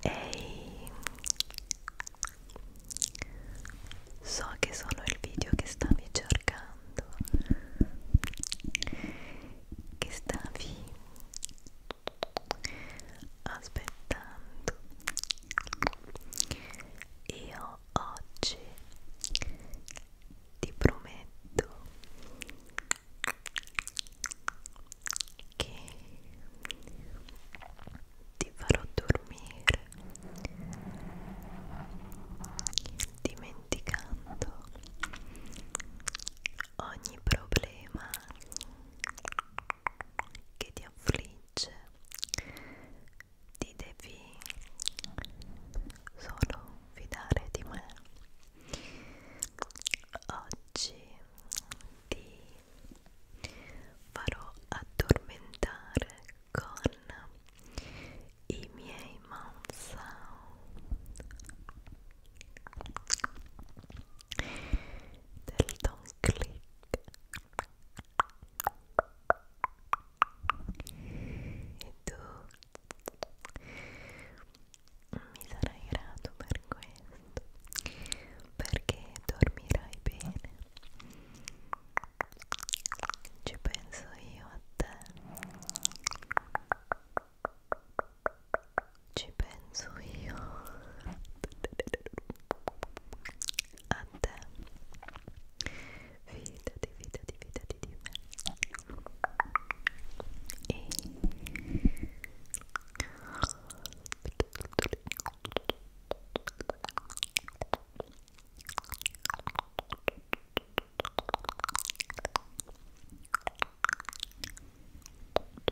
Ehi, so che sono il video che stavi cercando, che stavi aspettando io oggi ti prometto che ti farò dormire dimenticando ogni problema che ti affligge ti devi solo fidare di me oggi ti farò addormentare con i miei mouth sound del Don Click e tu mi sarai grato per questo perché dormirai bene ci penso io a te ci penso io a te fidati fidati fidati di me e